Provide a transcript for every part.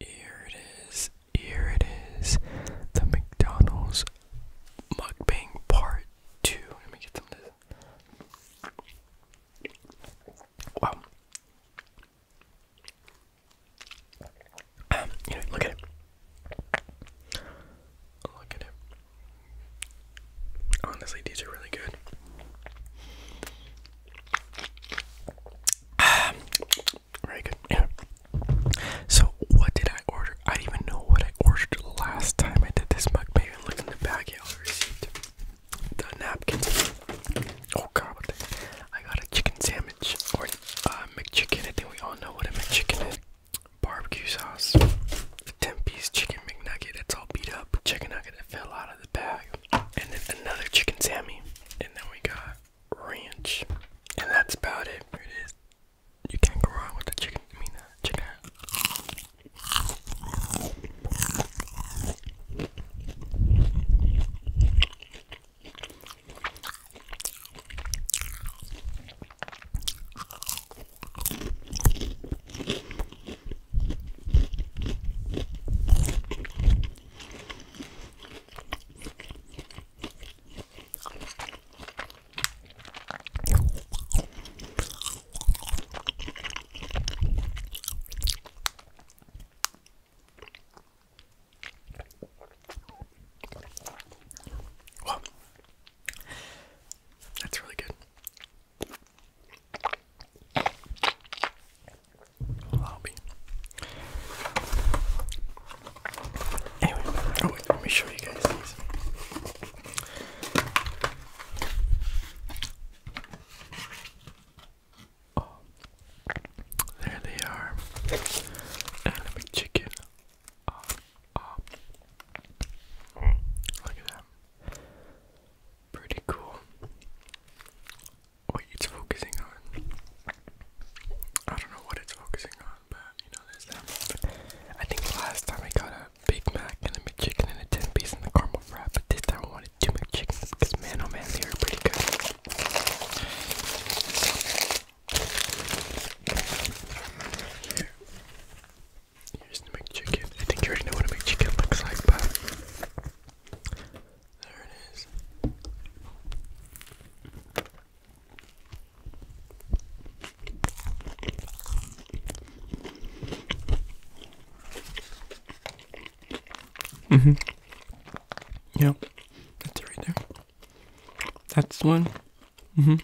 Here it is, here it is. The McDonald's mukbang part two. Let me get some of Wow. Um, look at it. Look at it. Honestly, these are really good. Very good. So, what did I order? I don't even know what I ordered last time I did this mug. Maybe I looked in the bag. Yeah, I received the napkins. Oh god, I got a chicken sandwich or a uh, McChicken. I think we all know what a McChicken is. Barbecue sauce, the 10 piece chicken McNugget. It's all beat up. Chicken nugget that fell out of the bag. And then another chicken Sammy. And then we got ranch. And that's about it. You can't go wrong with the chicken. I uh, chicken. Well, that's really good. Oh, let me show you guys these. Oh, there they are. Anime chicken. Oh, oh. Look at that. Pretty cool what it's focusing on. I don't know what it's focusing on, but you know, there's I think last time I got a Big Mac and a McChicken and a 10 piece and a caramel wrap, but this time I wanted two McChickens because, man, oh man, they are pretty good. Here. Here's the McChicken. I think you already know what a McChicken looks like, but there it is. Mm-hmm. Yeah, that's right there. That's one. Mm-hmm.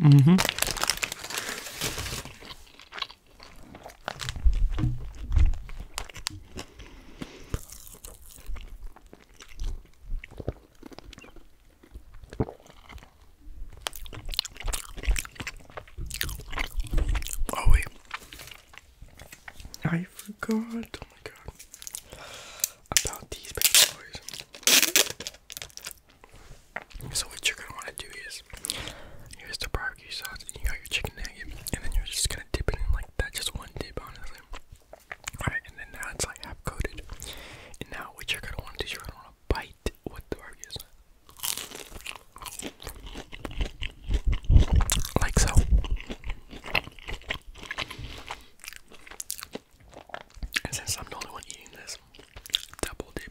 Mm-hmm. Oh wait. I forgot, oh my god, about these bad boys. So what you're gonna wanna do is here's the barbecue sauce and you got your chicken nugget and then you're just gonna dip it in like that, just one dip honestly. Alright, and then now it's like half coated. And now what you're gonna wanna do is you're gonna wanna bite what the barbecue sauce. Like so. And since I'm the only one eating this, double dip.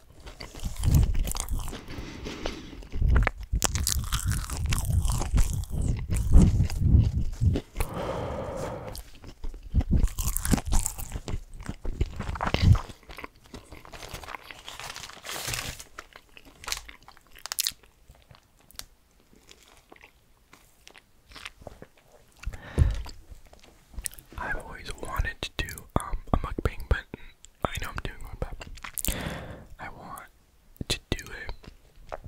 I've always wanted to do um, a mukbang, but I know I'm doing one, but I want to do it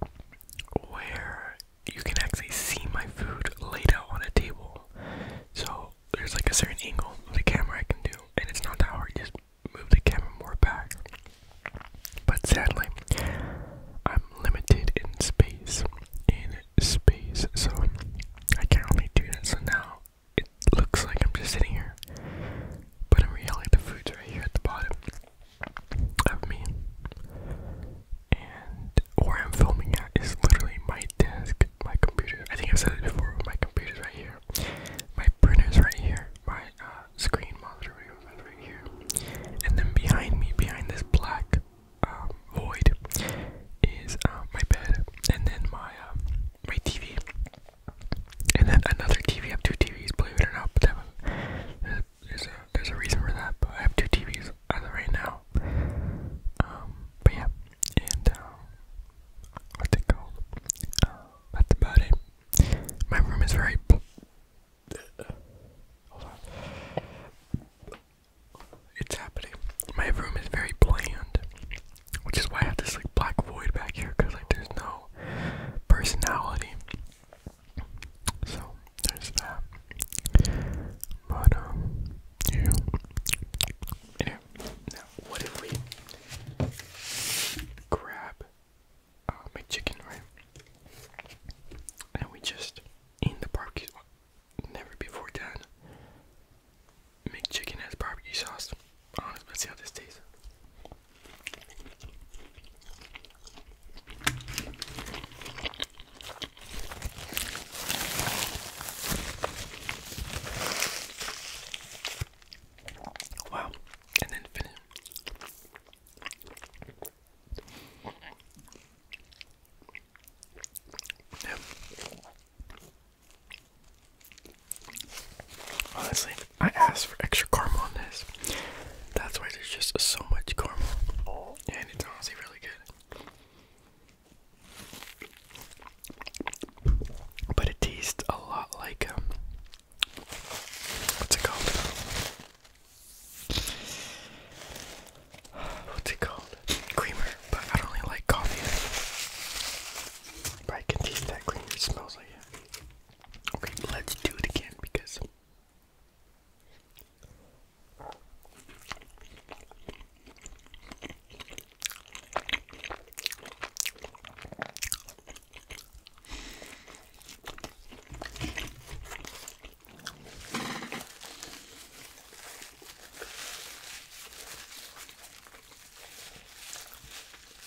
where you can actually see my food laid out on a table. So there's like a certain angle of the camera I can do, and it's not that hard. Just move the camera more back. But sadly, I'm limited in space. In space, so I can't really do that. So now it looks like I'm just sitting here, but i in reality, the food's right here at the bottom of me. And where I'm filming at is literally my desk, my computer. I think I've said it before, my computer's right here, my printer's right here, my uh, screen monitor right here, and then behind me, behind this black um, void, is uh, my bed, and then my. Um, my TV, and then another TV. I have two TVs, believe it or not. But that, there's a there's a reason for that. But I have two TVs as of right now. Um, but yeah, and uh, what's it called? Uh, that's about it. My room is very. Hold on. It's happening. My room is very bland. Which is why I have this like black void back here, cause like there's no personality. So there's that. But um, yeah. Anyway, now what if we grab uh, my right? And we just in the barbecue. Never before done. McChicken has barbecue sauce. let's see how this tastes. Wow, and then Honestly, I asked for extra caramel on this. That's why there's just so much caramel. And it's honestly really good. But it tastes a lot like um, what's it called? What's it called? Creamer, but I don't really like coffee. But I can taste that creamer, smells like it. Okay, let's do it again because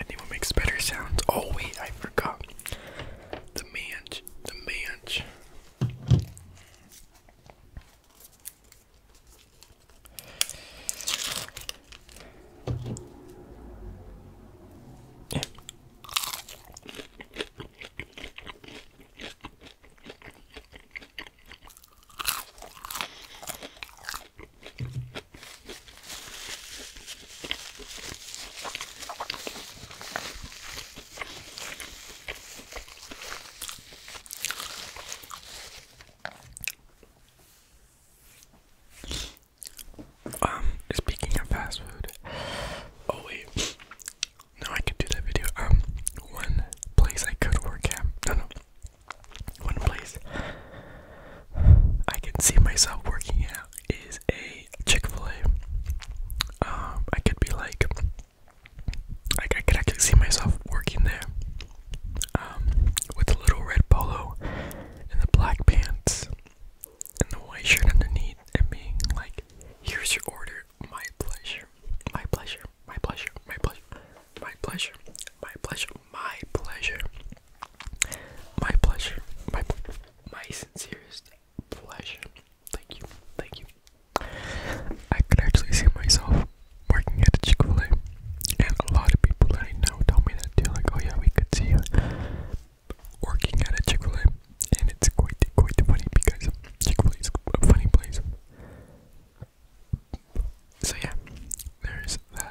Anyone makes better sounds. Oh wait, I forgot. The manch, the manch. Um, speaking of fast food, oh wait, no, I could do that video. Um, one place I could work at, no, no, one place I can see myself working out is a chick fil um, I could be like, like I could actually see myself working there. Um, with the little red polo and the black pants and the white shirt underneath and being like, here's your order, my pleasure, my pleasure, my pleasure, my pleasure. My pleasure. My pleasure. My pleasure. My pleasure. My my sincerest pleasure. Thank you. Thank you. I could actually see myself working at a Chick-fil-A. And a lot of people that I know tell me that too, like, oh yeah, we could see you working at a Chick-fil-A. And it's quite quite funny because Chick-fil-A is a funny place. So yeah, there's that.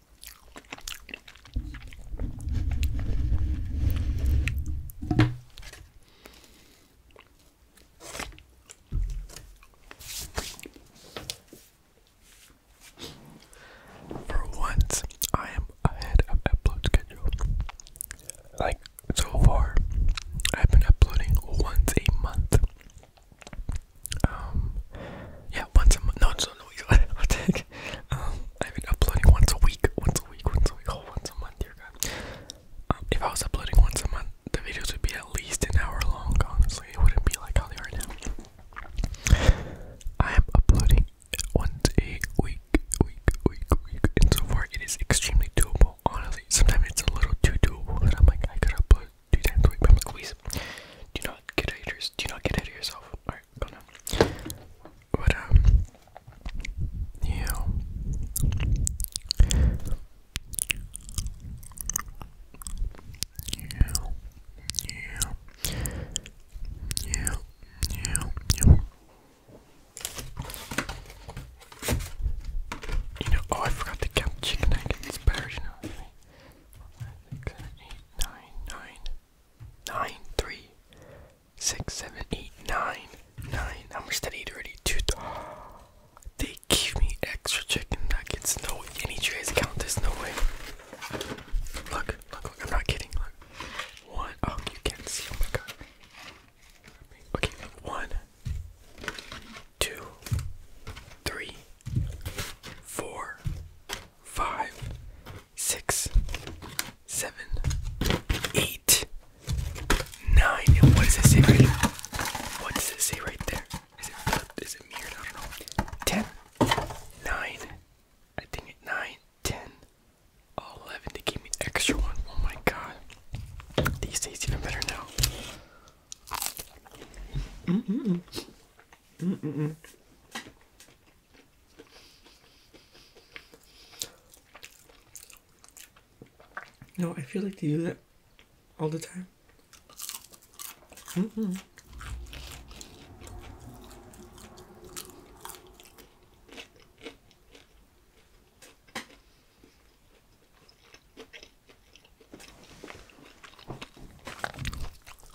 For once, I am ahead of upload schedule. Like so far, I've been uploading once a month. Um, yeah, once a month. No, so no, i am um, uploading once a week, once a week, once a week, oh, once a month, dear God. Um, if I was uploading once a month, the videos would be at least an hour long, honestly. It wouldn't be like how they are now. I am uploading once a week, week, week, week, and so far it is extremely doable, honestly. Sometimes it's a little too doable, and I'm like, I could upload two times a week, but please do not get ahead of yourself. Do not get ahead yourself. Alright, go now. But, um, Yeah, yeah, yeah, yeah, yeah. You know, oh, I forgot to count chicken nuggets. Better, you know. Six, seven, eight, nine, nine nine, three, six, seven, eight, nine, nine. How much did I eat already? Two. Th they gave me extra chicken nuggets. No, any trays count. There's no way. Look, look, look. I'm not kidding. Look. One. Oh, you can't see. Oh my god. Okay, one, two, three, four, five, six, seven, eight, nine. And what does it say right What does it say right there? Is it flipped? Is it mirrored? I don't know. Ten, nine. I think it nine, ten, oh, eleven. They gave me extra one. Oh my god. These taste even better now. Mm -mm -mm. Mm -mm -mm. No, I feel like to use it all the time. Mm-hmm.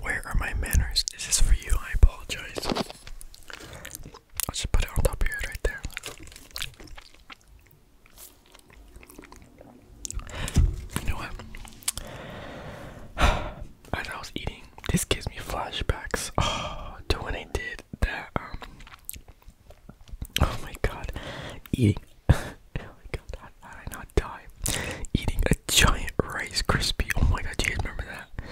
Where are my manners? Is this for you? I apologize. I'll just put it on top of your head right there. You know what? As I was eating, this gives me flashbacks to when I did that um, Oh my god, eating. oh my god, how, did I not die? Eating a giant Rice Krispie. Oh my god, do you guys remember that?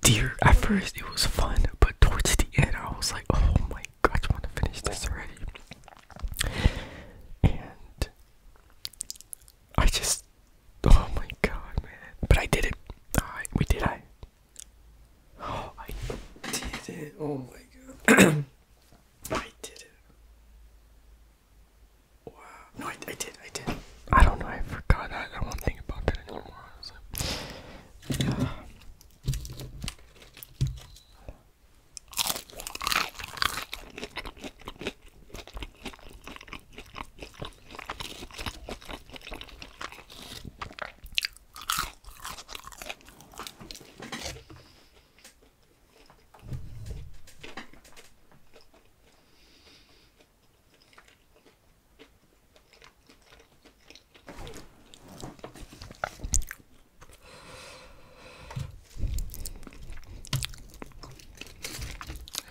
Dear, at first it was fun, but towards the end I was like, oh my god, I just want to finish this already. And I just, oh my god, man. But I did it. we did. it. Oh, I did it. Oh my god. I did it. Wow. No, I, did. I did. I don't know. I forgot. I, I won't think about that anymore,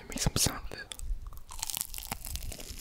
Make some sound of it.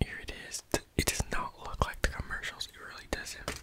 Here it is. It does not look like the commercials. It really doesn't.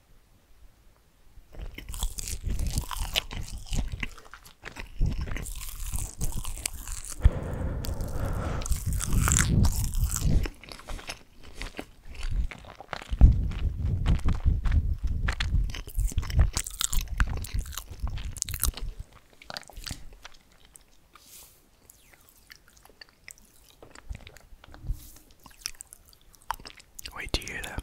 Wait, do you hear that?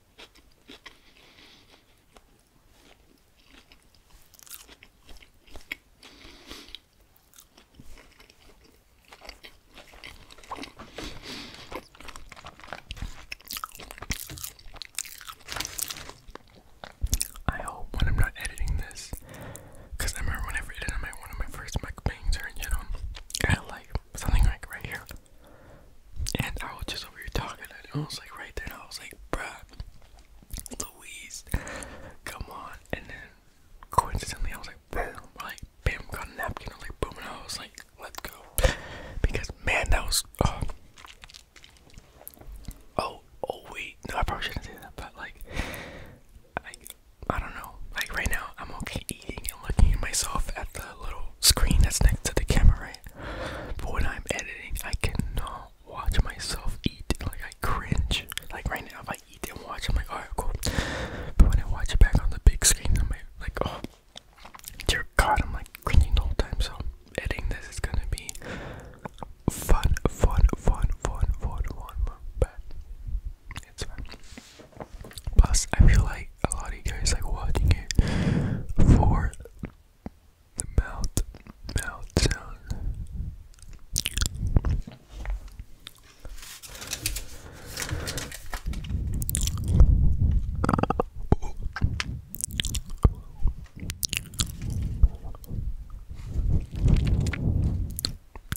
I hope when I'm not editing this, because I remember when I ever edited my, one of my first mukbangs or you know, I like something like right here. And I was just over here talking, and I was like right there, I was like, bruh, Louise, come on. And then coincidentally, I was like, boom, like, bam, got a napkin, I was like, boom, and I was like, let's go. Because, man, that was, uh, oh, oh, wait, no, I probably shouldn't say that, but like, I, I don't know, like, right now, I'm okay eating and looking at myself at the little screen that's next to the camera, right? But when I'm editing, I cannot watch myself eat. Like I cringe. Like right now, if I eat and watch, I'm like, alright, cool. But when I watch it back on the big screen, I'm like, oh, dear God, I'm like cringing the whole time. So editing this is gonna be fun, fun, fun, fun, fun, fun, fun. But it's fun. Plus, I feel like a lot of you guys like watching it for the mouth, mouth sound.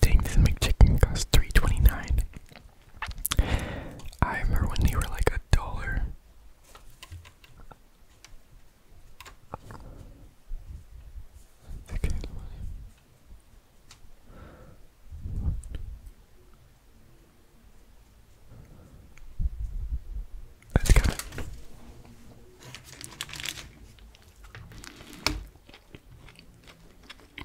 Dang, this McChicken costs three twenty nine. I remember when they were like a dollar. Okay. That's kind of.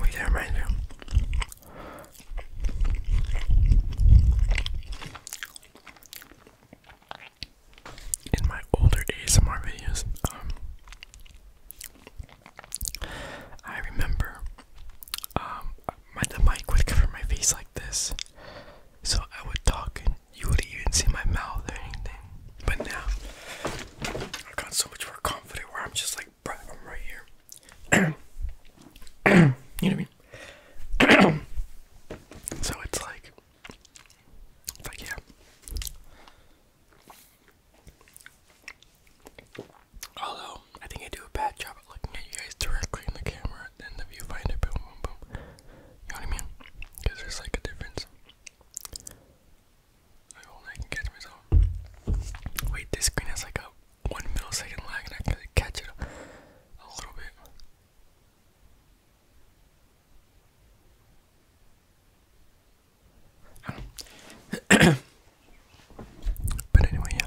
Wait there, right In my older ASMR videos, um, I remember um, my the mic would cover my face like this, so I would talk and you wouldn't even see my mouth or anything. But now I've gotten so much more confident where I'm just like, bruh, I'm right here. you know what I mean? so it's like, it's yeah. Although I think I do a bad job at looking at you guys directly in the camera and the viewfinder, boom, boom, boom. You know what I mean? Because there's like a difference. I hope I can catch myself. Wait, this screen has like a one millisecond lag, and I can catch it a, little bit. But anyway, yeah.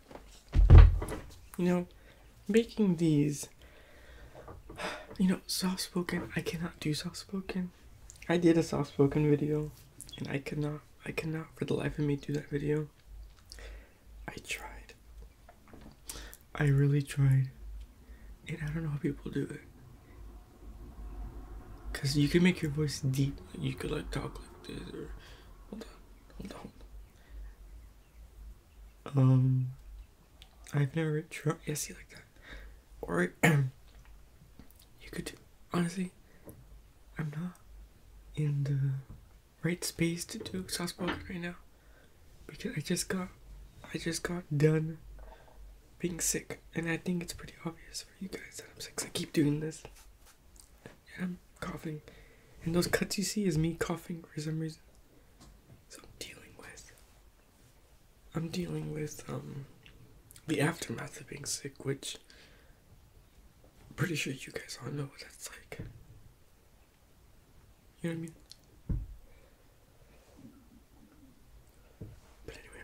You know, making these, you know, soft spoken, I cannot do soft spoken. I did a soft spoken video and I cannot, I cannot for the life of me do that video. I tried. I really tried. And I don't know how people do it. Cause you can make your voice deep. you could like talk like this or hold on, hold on. Um, I've never tried. Yes, you like that, or you could honestly. I'm not in the right space to do soft-spoken right now because I just got I just got done being sick, and I think it's pretty obvious for you guys that I'm sick. I keep doing this. Yeah, I'm coughing. And those cuts you see is me coughing for some reason. So I'm dealing with. I'm dealing with um the aftermath of being sick, which I'm pretty sure you guys all know what that's like. You know what I mean? But anyway.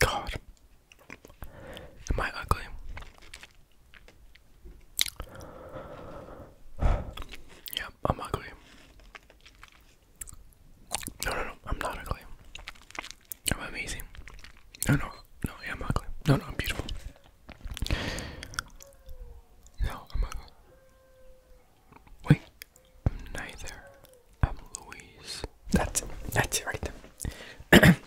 God, am I ugly? Yeah, I'm ugly. No, no, no, I'm not ugly. I'm amazing. No, no, no, yeah, I'm ugly. No, no, I'm beautiful. No, I'm not. Wait, neither. I'm Louise. That's it. That's it right there.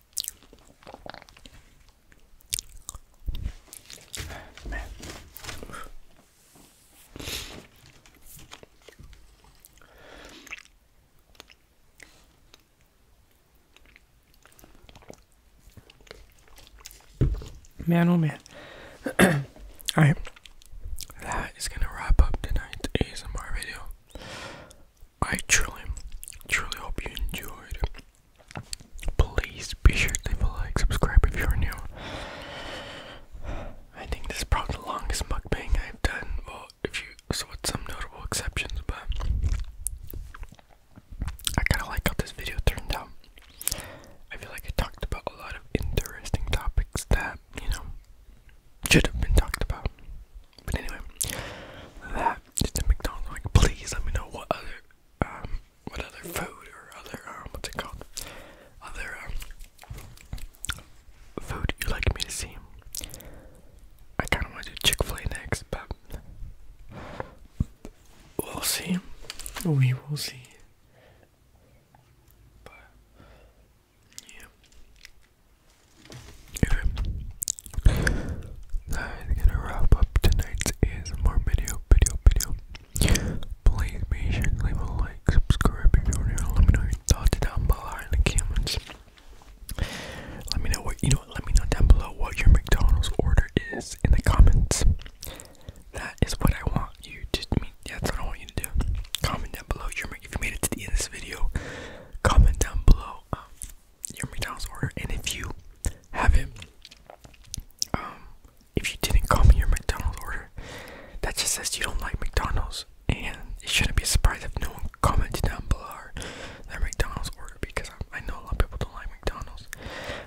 Man. oh man. Alright. That is gonna wrap up tonight's ASMR video. I truly, truly hope you enjoyed. Please be sure to leave a like, subscribe if you're new. I think this is probably the longest mukbang I've done. Well, if you, with some notable exceptions, but I kind of like how this video turned out. I feel like I talked about a lot of interesting topics that, you know, should have been talked about. But anyway, that is the McDonald's. Like, please let me know what other, um, what other food or other, um, what's it called? Other, um, food you like me to see. I kind of want to do Chick fil A next, but we'll see. We will see. But, yeah. That is gonna wrap up tonight's ASMR video, video, video. Please be sure to leave a like, subscribe if you're new. Let me know your thoughts down below in the comments. Let me know what you know. Let me know down below what your McDonald's order is in the comments. That is what I want you to me. That's what I want you to do. Comment down below your if you made it to the end of this video. Comment down below um, your McDonald's order, and if you haven't, um, if you didn't comment your McDonald's order, that just says you don't like McDonald's, and it shouldn't be a surprise if no one commented down below their McDonald's order because I, know a lot of people don't like McDonald's,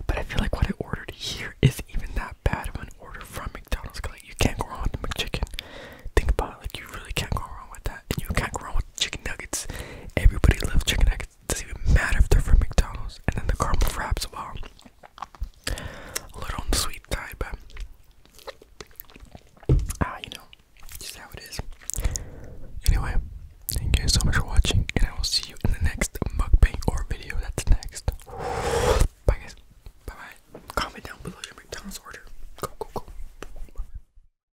but I feel like what I ordered here even that bad of an order from McDonald's. like you can't go wrong with McChicken. Think about it, like you really can't go wrong with that, and you can't go wrong chicken nuggets. Everybody loves chicken nuggets. It doesn't even matter if they're from McDonald's. And then the caramel wraps, wow. A little on the sweet side, but ah, you know, just how it is. Anyway, thank you guys so much for watching, and I will see you in the next mukbang or video that's next. Bye guys. Bye bye. Comment down below your McDonald's order. Go go go.